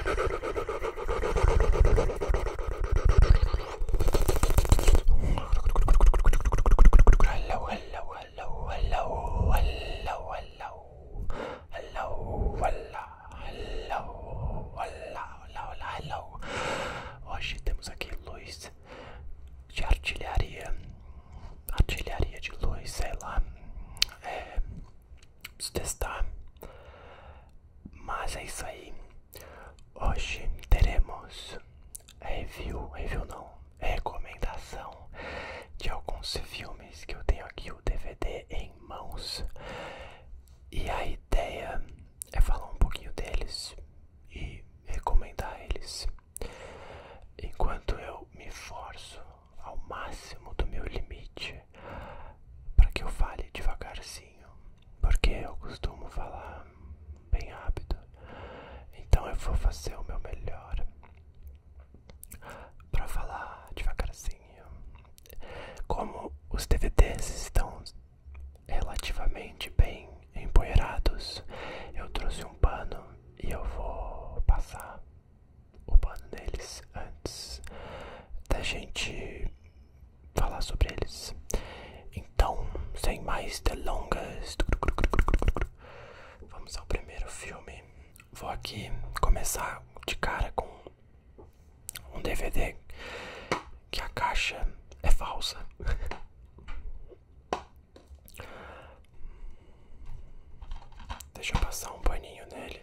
Hello, hello, hello, hello, hello, hello, hello, hello, hello, hello. Hoje temos aqui luz de artilharia, artilharia de luz, sei lá, Preciso testar. Mas é isso aí. Hoje teremos review, review não, recomendação de alguns filmes que eu tenho aqui o DVD em mãos. E a ideia é falar um pouquinho deles e recomendar eles. Enquanto eu me forço ao máximo do meu limite para que eu fale devagarzinho, porque eu costumo falar bem rápido. Então eu vou fazer o meu melhor para falar devagarzinho. Como os DVDs estão relativamente bem empoeirados, eu trouxe um pano e eu vou passar o pano neles antes da gente falar sobre eles. Então, sem mais delongas, vamos ao primeiro filme. Vou aqui começar de cara com um DVD que a caixa é falsa. Deixa eu passar um paninho nele.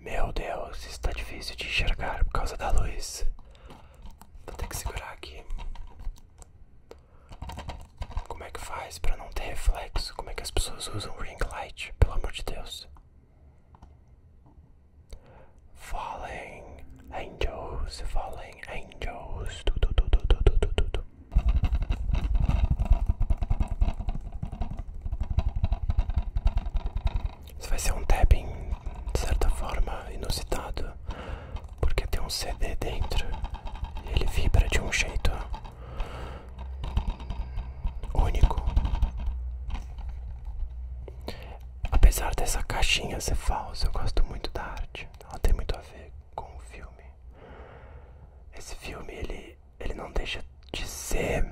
Meu Deus, está difícil de enxergar por causa da luz. Vou ter que segurar aqui. Como é que faz para não ter reflexo? Como é que as pessoas usam ring light? Pelo amor de Deus. Falling angels, falling angels. Isso vai ser um tapping de certa forma inusitado, porque tem um CD dentro e ele vibra de um jeito único. Apesar dessa caixinha ser falsa, eu gosto muito da arte. Ela tem muito a ver com o filme. Esse filme ele, ele não deixa de ser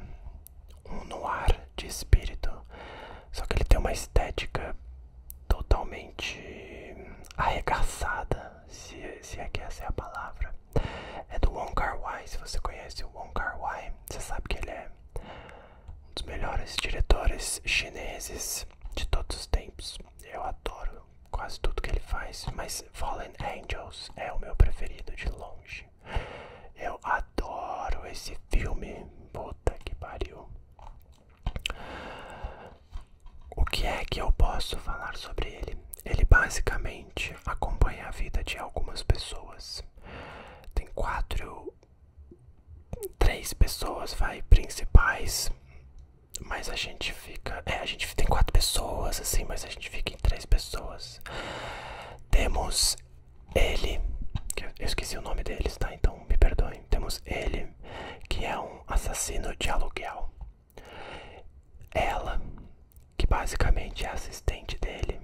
um noir de espírito, só que ele tem uma estética totalmente arregaçada, se, se é que essa é a palavra. É do Wang Kar Wai, se você conhece o Wang Kar Wai, você sabe que ele é um dos melhores diretores chineses de todos os tempos. Eu adoro quase tudo que ele faz, mas Fallen Angels é o meu preferido de longe. Eu adoro esse filme, puta que pariu. O que é que eu posso falar sobre ele? Ele basicamente acompanha a vida de algumas pessoas. Tem quatro, três pessoas vai principais mas a gente fica. É, a gente tem quatro pessoas, assim, mas a gente fica em três pessoas. Temos ele. eu esqueci o nome deles, tá? Então me perdoem. Temos ele, que é um assassino de aluguel. Ela, que basicamente é assistente dele,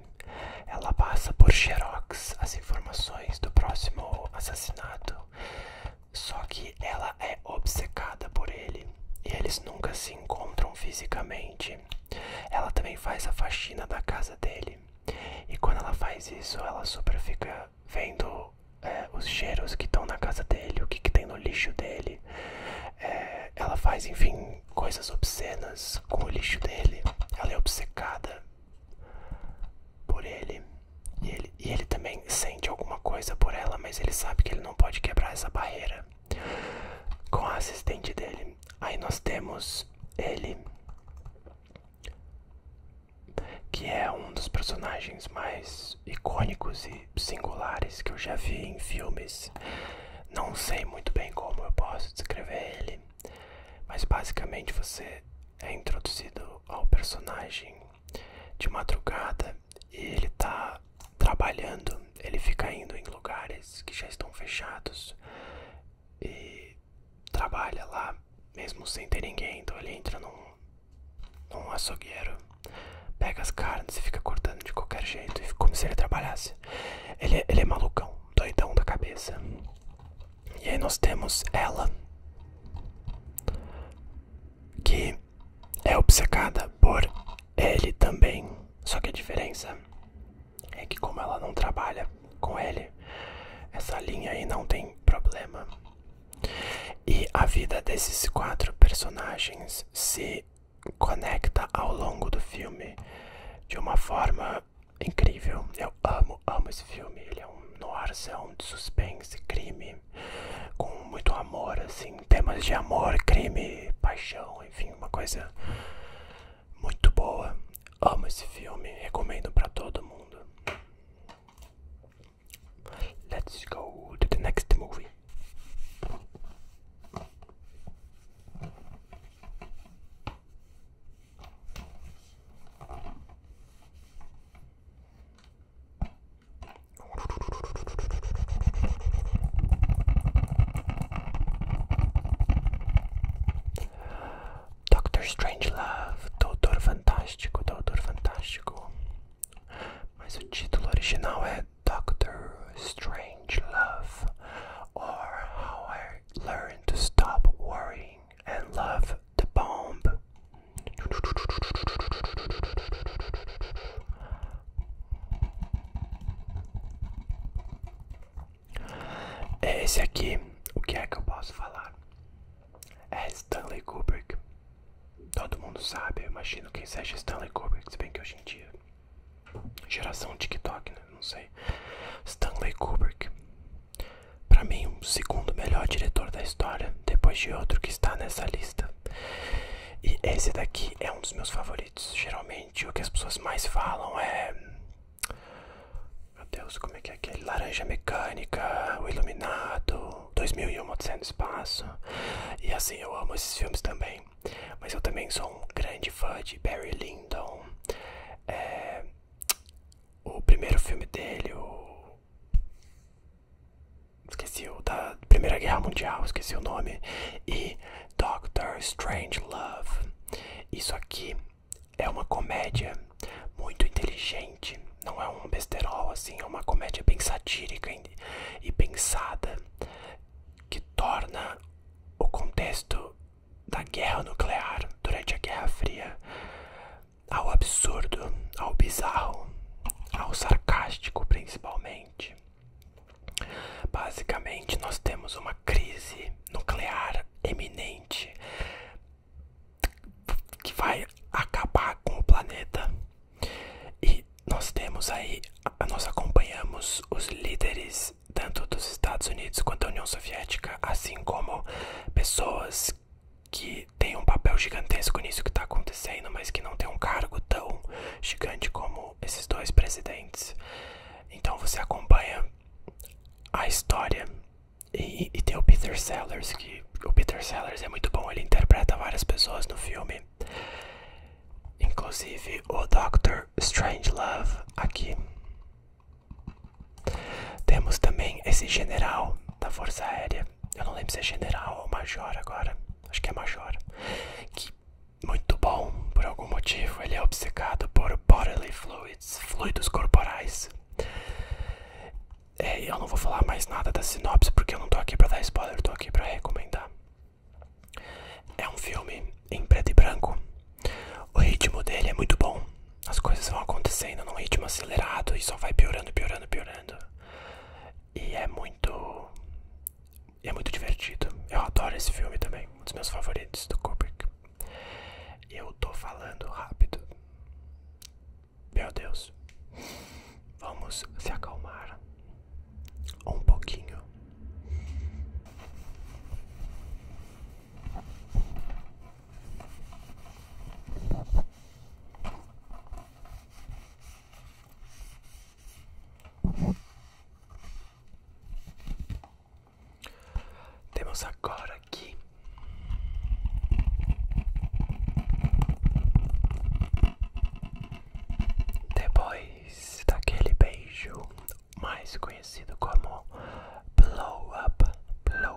ela passa por xerox as informações do próximo assassinato só que ela é obcecada por ele e eles nunca se encontram fisicamente. Ela também faz a faxina da casa dele e quando ela faz isso, ela super fica vendo é, os cheiros que estão na casa dele, o que, tem no lixo dele. É, ela faz, enfim, coisas obscenas com o lixo dele. Ela é obcecada por ele. E ele, também sente alguma coisa por ela, mas ele sabe que ele não pode quebrar essa barreira. Com a assistente dele. Aí nós temos ele. Que é um dos personagens mais icônicos e singulares que eu já vi em filmes. Não sei muito bem como eu posso descrever ele, mas basicamente você é introduzido ao personagem de madrugada e ele tá trabalhando, ele fica indo em lugares que já estão fechados e trabalha lá mesmo sem ter ninguém. Então ele entra num, num açougueiro, pega as carnes e fica cortando de qualquer jeito, como se ele trabalhasse. Ele, ele é malucão, doidão da cabeça. E aí nós temos ela, que é obcecada por ele também. Só que a diferença é que como ela não trabalha com ele, essa linha aí não tem problema. E a vida desses quatro personagens se conecta ao longo do filme de uma forma incrível. Eu amo, amo esse filme. Ele é um no noirzão de suspense, crime com muito amor, assim, temas de amor, crime, paixão, enfim, uma coisa muito boa. Amo esse filme, recomendo para todo mundo. Let's go to the next movie. Doctor Strangelove, Doutor Fantástico, Doutor Fantástico. Mas o título original é Doctor Strangelove, or How I Learned to Stop Worrying and Love the Bomb. É esse aqui, o que é que eu posso falar? É Stanley Kubrick. Todo mundo sabe, eu imagino quem seja Stanley Kubrick, se bem que hoje em dia. Geração TikTok, né? Não sei. Stanley Kubrick. Pra mim, o segundo melhor diretor da história, depois de outro que está nessa lista. E esse daqui é um dos meus favoritos. Geralmente o que as pessoas mais falam é. Meu Deus, como é que é aquele? Laranja Mecânica, O Iluminado, 2001 Odisseia no Espaço. E assim, eu amo esses filmes também. Mas eu também sou um grande fã de Barry Lyndon. É, o primeiro filme dele, o Esqueci o da Primeira Guerra Mundial, esqueci o nome. E Doctor Strange Love. Isso aqui é uma comédia muito inteligente. Não é um besterol, assim, é uma comédia bem satírica e pensada que torna o contexto da guerra nuclear durante a Guerra Fria ao absurdo, ao bizarro, ao sarcástico principalmente. Basicamente, nós temos uma crise nuclear eminente que vai acabar com o planeta. E nós temos aí, nós acompanhamos os líderes tanto dos Estados Unidos quanto da União Soviética, assim como pessoas que tem um papel gigantesco nisso que está acontecendo, mas que não tem um cargo tão gigante como esses dois presidentes. Então você acompanha a história e, tem o Peter Sellers, que o Peter Sellers é muito bom, ele interpreta várias pessoas no filme, inclusive o Dr. Strangelove aqui. Temos também esse general da Força Aérea eu não lembro se é general ou major agora, acho que é major, que muito bom, por algum motivo, ele é obcecado por bodily fluids, fluidos corporais. É, eu não vou falar mais nada da sinopse porque eu não tô aqui pra dar spoiler, eu tô aqui pra recomendar. É um filme em preto e branco, o ritmo dele é muito bom, as coisas vão acontecendo num ritmo acelerado e só vai piorando, piorando, piorando. E é muito. É muito divertido. Eu adoro esse filme também. Um dos meus favoritos do Kubrick. Eu tô falando rápido. Meu Deus. Vamos se acalmar um pouquinho. Temos agora aqui depois daquele beijo mais conhecido como blow up, blow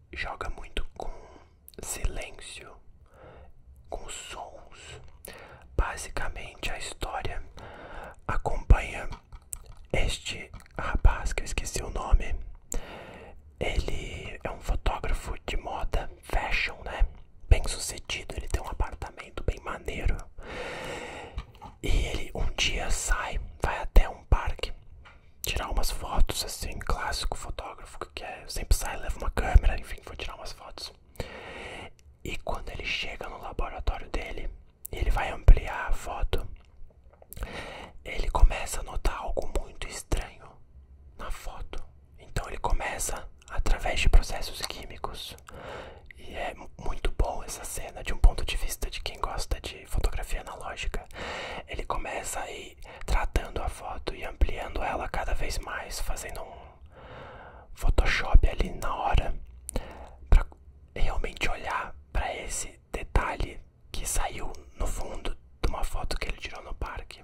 joga muito com silêncio, com sons. Basicamente, a história acompanha este rapaz que eu esqueci o nome. Ele é um fotógrafo de moda, fashion, né? Bem sucedido, ele tem um apartamento bem maneiro. E ele um dia sai, vai até um parque tirar umas fotos, assim, clássico fotógrafo que é, sempre sai, leva uma câmera, enfim, vou tirar umas fotos. E quando ele chega no laboratório dele, ele vai ampliar a foto, ele começa a notar algo muito estranho na foto. Então ele começa através de processos químicos. E é muito bom essa cena de um ponto de vista de quem gosta de fotografia analógica. Ele começa aí tratando a foto e ampliando ela cada vez mais, fazendo um Photoshop ali na hora, para realmente olhar para esse detalhe que saiu no fundo de uma foto que ele tirou no parque.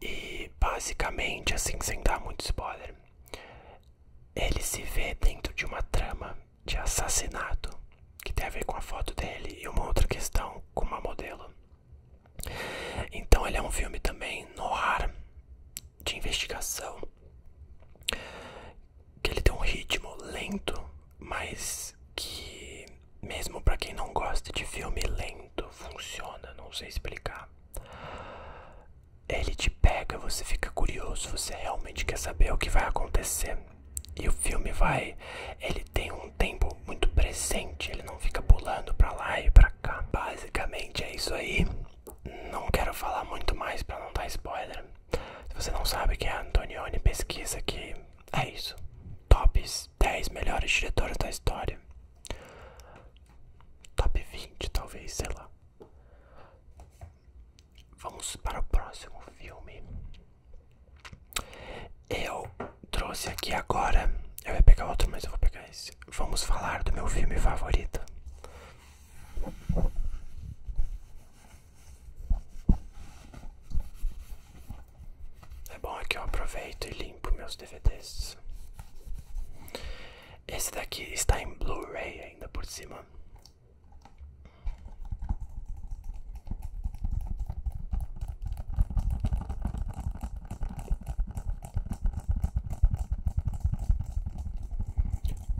E basicamente, assim, sem dar muito spoiler, ele se vê dentro de uma trama de assassinato, que tem a ver com a foto dele, e uma outra questão com uma modelo. Então ele é um filme também no ar de investigação, que ele tem um ritmo lento, mas que mesmo para quem não gosta de filme lento funciona, não sei explicar. Ele te pega, você fica curioso, você realmente quer saber o que vai acontecer. E o filme vai. Ele tem um tempo muito presente, ele não fica pulando pra lá e pra cá. Basicamente é isso aí. Não quero falar muito mais pra não dar spoiler. Se você não sabe que é a Antonioni, pesquisa que é isso. Tops 10 melhores diretores da história. Top 20, talvez, sei lá. Vamos para o próximo filme. Eu trouxe aqui agora. Eu ia pegar outro, mas eu vou pegar esse. Vamos falar do meu filme favorito. É bom aqui é eu aproveito e limpo meus DVDs. Esse daqui está em Blu-ray ainda por cima.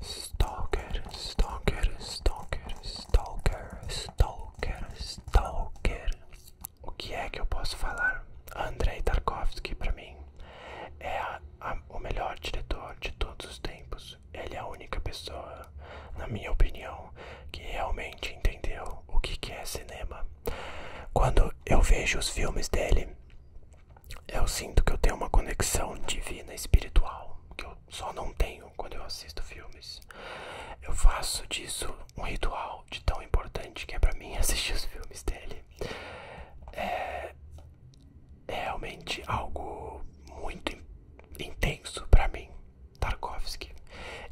Stalker, stalker, stalker, stalker, stalker, stalker. O que é que eu posso falar? Andrei Tarkovsky, para mim, é o melhor diretor de todos os tempos ele é a única pessoa, na minha opinião, que realmente entendeu o que, que é cinema. Quando eu vejo os filmes dele, eu sinto que eu tenho uma conexão divina espiritual que eu só não tenho quando eu assisto filmes. Eu faço disso um ritual de tão importante que é para mim assistir os filmes dele. É, é realmente algo muito intenso para mim, Tarkovsky.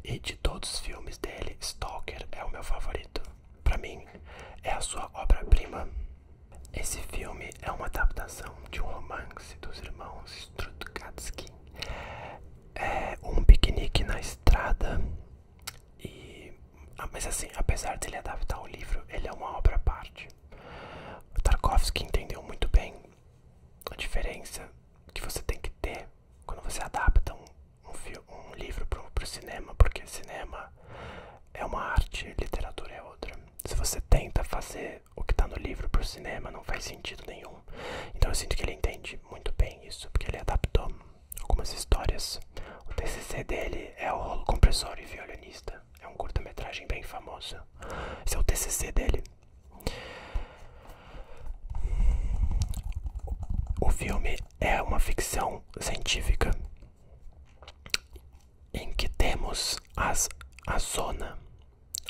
E de todos os filmes dele, Stalker é o meu favorito. Para mim, é a sua obra-prima. Esse filme é uma adaptação de um romance dos irmãos Strutgatsky. É um piquenique na estrada ah, mas assim, apesar dele adaptar o livro, ele é uma obra à parte. Tarkovsky entendeu muito bem a diferença que você tem que ter quando você adapta um, livro para o cinema, porque cinema é uma arte, literatura é outra. Se você tenta fazer o que está no livro para o cinema, não faz sentido nenhum. Então eu sinto que ele entende muito bem isso, porque ele adaptou algumas histórias. O TCC dele é o rolo compressor e violinista. É um curta-metragem bem famoso. Esse é o TCC dele. O filme é uma ficção científica em que temos as, a zona.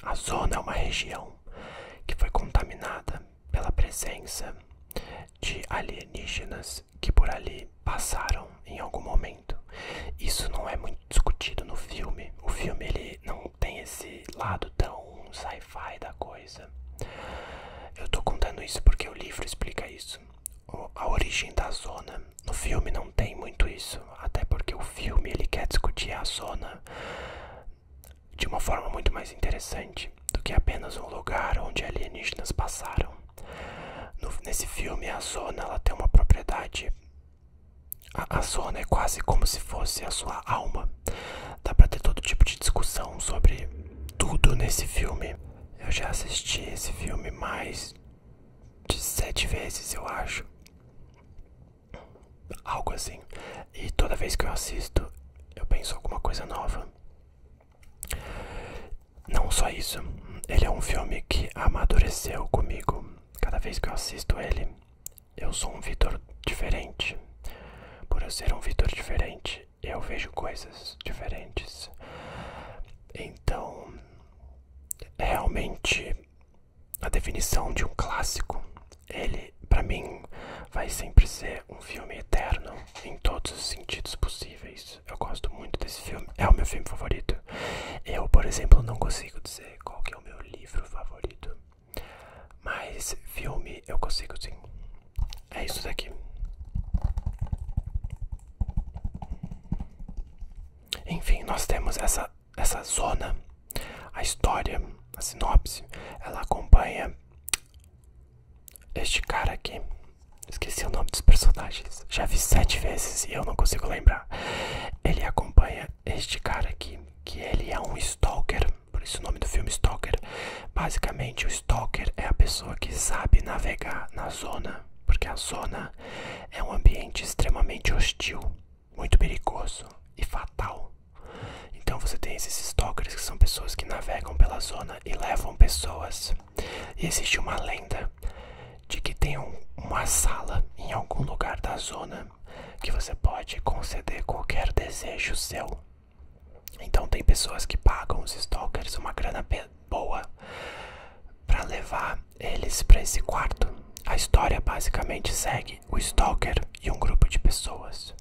A zona é uma região que foi contaminada pela presença de alienígenas que por ali passaram em algum momento. Isso não é muito discutido no filme. O filme ele não tem esse lado tão sci-fi da coisa. Eu estou contando isso porque o livro explica isso. a origem da zona. No filme não tem muito isso, até porque o filme ele quer discutir a zona de uma forma muito mais interessante do que apenas um lugar onde alienígenas passaram. nesse filme a zona ela tem uma propriedade a, a zona é quase como se fosse a sua alma. Dá pra ter todo tipo de discussão sobre tudo nesse filme. Eu já assisti esse filme mais de sete vezes, eu acho. Algo assim. E toda vez que eu assisto, eu penso alguma coisa nova. Não só isso, ele é um filme que amadureceu comigo cada vez que eu assisto ele, eu sou um Vitor diferente. Por eu ser um Vitor diferente, eu vejo coisas diferentes. Então, realmente, a definição de um clássico, ele, para mim, vai sempre ser um filme eterno em todos os sentidos possíveis. Eu gosto muito desse filme, é o meu filme favorito. Eu, por exemplo, não consigo dizer qual que é o meu livro favorito. Mas filme eu consigo sim. É isso daqui. Enfim, nós temos essa, essa zona. A história, a sinopse, ela acompanha este cara aqui. Esqueci o nome dos personagens. Já vi sete vezes e eu não consigo lembrar. Ele acompanha este cara aqui, que ele é um stalker, por isso o nome do filme Stalker. Basicamente, o stalker é a pessoa que sabe navegar na zona, porque a zona é um ambiente extremamente hostil, muito perigoso e fatal. Então você tem esses stalkers que são pessoas que navegam pela zona e levam pessoas. E existe uma lenda de que tem uma sala em algum lugar da zona que você pode conceder qualquer desejo seu. Então tem pessoas que pagam os stalkers uma grana boa para levar eles para esse quarto. A história basicamente segue o stalker e um grupo de pessoas.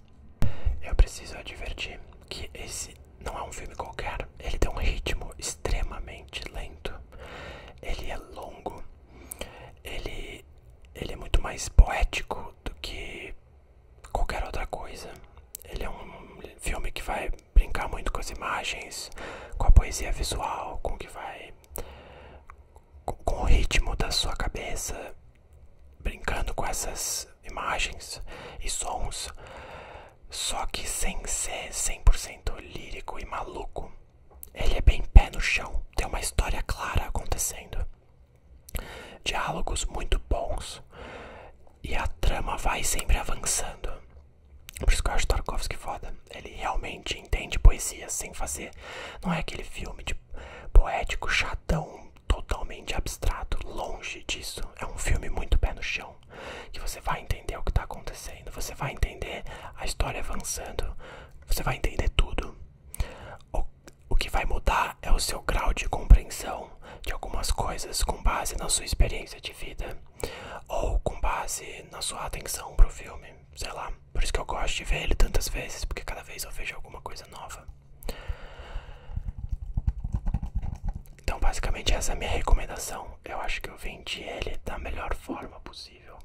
Eu preciso advertir que esse não é um filme qualquer, ele tem um ritmo extremamente lento ele é longo, ele, ele é muito mais poético do que qualquer outra coisa. Ele é um filme que vai brincar muito com as imagens, com a poesia visual, com o que vai. com o ritmo da sua cabeça, brincando com essas imagens e sons, só que sem ser 100% lírico e maluco. Ele é bem pé no chão, tem uma história clara acontecendo. Diálogos muito bons e a trama vai sempre avançando. Por isso que eu acho Tarkovsky foda. Ele realmente entende poesia sem fazer. Não é aquele filme de poético, chatão, totalmente abstrato. Longe disso. É um filme muito pé no chão que você vai entender o que está acontecendo, você vai entender a história avançando, você vai entender tudo. O, que vai mudar é o seu grau de compreensão de algumas coisas com base na sua experiência de vida ou com base na sua atenção para o filme, sei lá. Por isso que eu gosto de ver ele tantas vezes, porque cada vez eu vejo alguma coisa nova. Então, basicamente, essa é a minha recomendação. Eu acho que eu vendi ele da melhor forma possível incrível.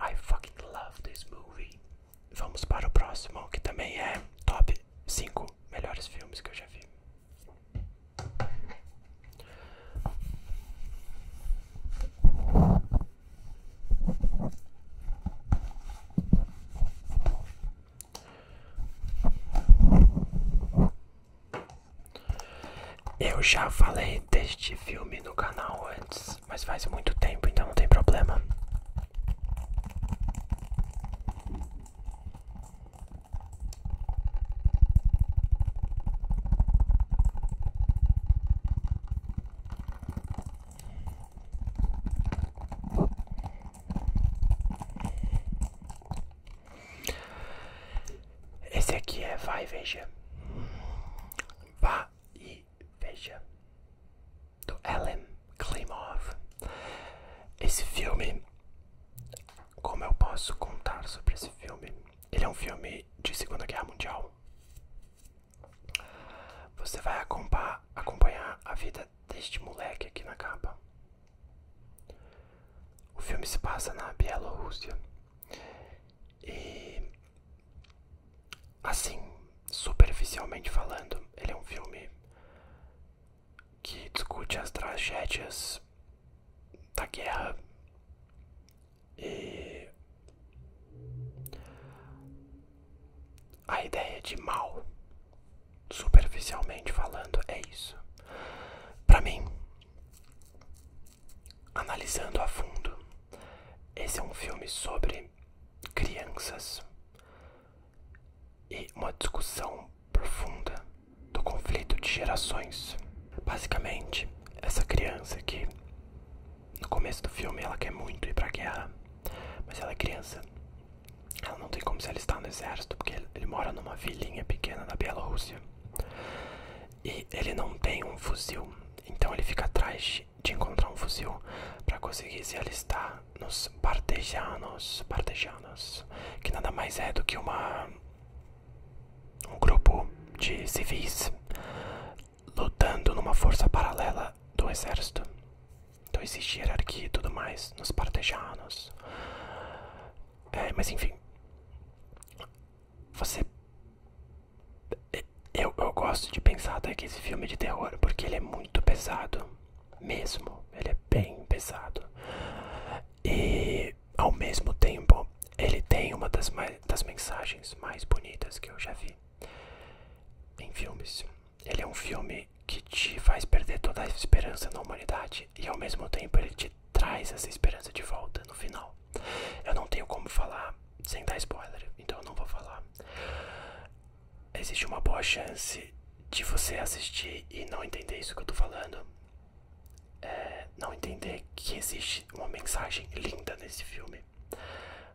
I fucking love Vamos para o próximo, que também é top 5 melhores filmes que eu já vi. Eu já falei deste filme no canal antes, mas faz muito tempo, então não tem problema. Esse aqui é vai veja. Vai e veja. Do Ellen Klimov. Esse filme, como eu posso contar sobre esse filme? Ele é um filme de Segunda Guerra Mundial. Você vai acompanhar a vida deste moleque aqui na capa. O filme se passa na Bielorrússia e assim, superficialmente falando, ele é um filme que discute as tragédias da guerra e a ideia de mal, superficialmente falando, é isso. Para mim, analisando a fundo, esse é um filme sobre crianças e uma discussão profunda do conflito de gerações. Basicamente, essa criança que no começo do filme ela quer muito ir pra guerra, mas ela é criança. Ela não tem como se alistar no exército porque ele mora numa vilinha pequena na Bielorrússia e ele não tem um fuzil, então ele fica atrás de encontrar um fuzil para conseguir se alistar nos partejanos, partejanos, que nada mais é do que uma um grupo de civis lutando numa força paralela do exército. Então existe hierarquia e tudo mais nos partejanos. É, mas enfim você. Eu, gosto de pensar que esse filme é de terror, porque ele é muito pesado, mesmo. Ele é bem pesado. E, ao mesmo tempo, ele tem uma das, mais, das mensagens mais bonitas que eu já vi em filmes. Ele é um filme que te faz perder toda a esperança na humanidade e, ao mesmo tempo, ele te traz essa esperança de volta no final. Eu não tenho como falar sem dar spoiler, então eu não vou falar. Existe uma boa chance de você assistir e não entender isso que eu estou falando. É, não entender que existe uma mensagem linda nesse filme.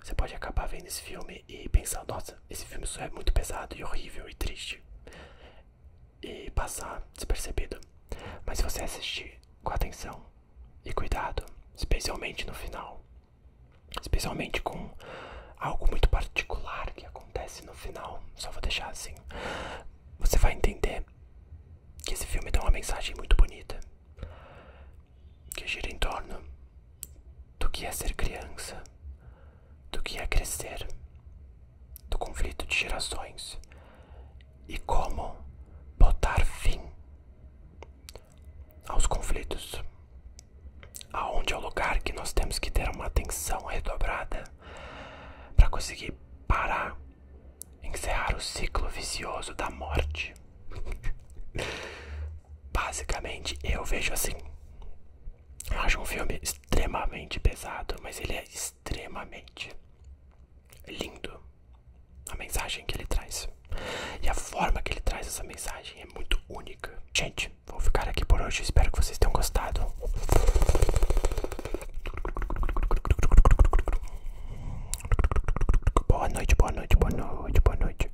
Você pode acabar vendo esse filme e pensar, nossa, esse filme só é muito pesado e horrível e triste e passar despercebido. Mas se você assistir com atenção e cuidado, especialmente no final, especialmente com algo muito particular que acontece no final, só vou deixar assim, você vai entender que esse filme tem uma mensagem muito bonita que gira em torno do que é ser criança, do que é crescer, do conflito de gerações e como botar fim aos conflitos, aonde é o lugar que nós temos que ter uma atenção redobrada para conseguir parar, encerrar o ciclo vicioso da morte. Basicamente, eu vejo assim. acho um filme extremamente pesado, mas ele é extremamente é lindo a mensagem que ele traz. E a forma que ele traz essa mensagem é muito única. Gente, vou ficar aqui por hoje. Espero que vocês tenham gostado. Boa noite, boa noite, boa noite, boa noite.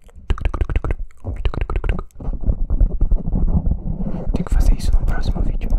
Tem que fazer isso no próximo vídeo.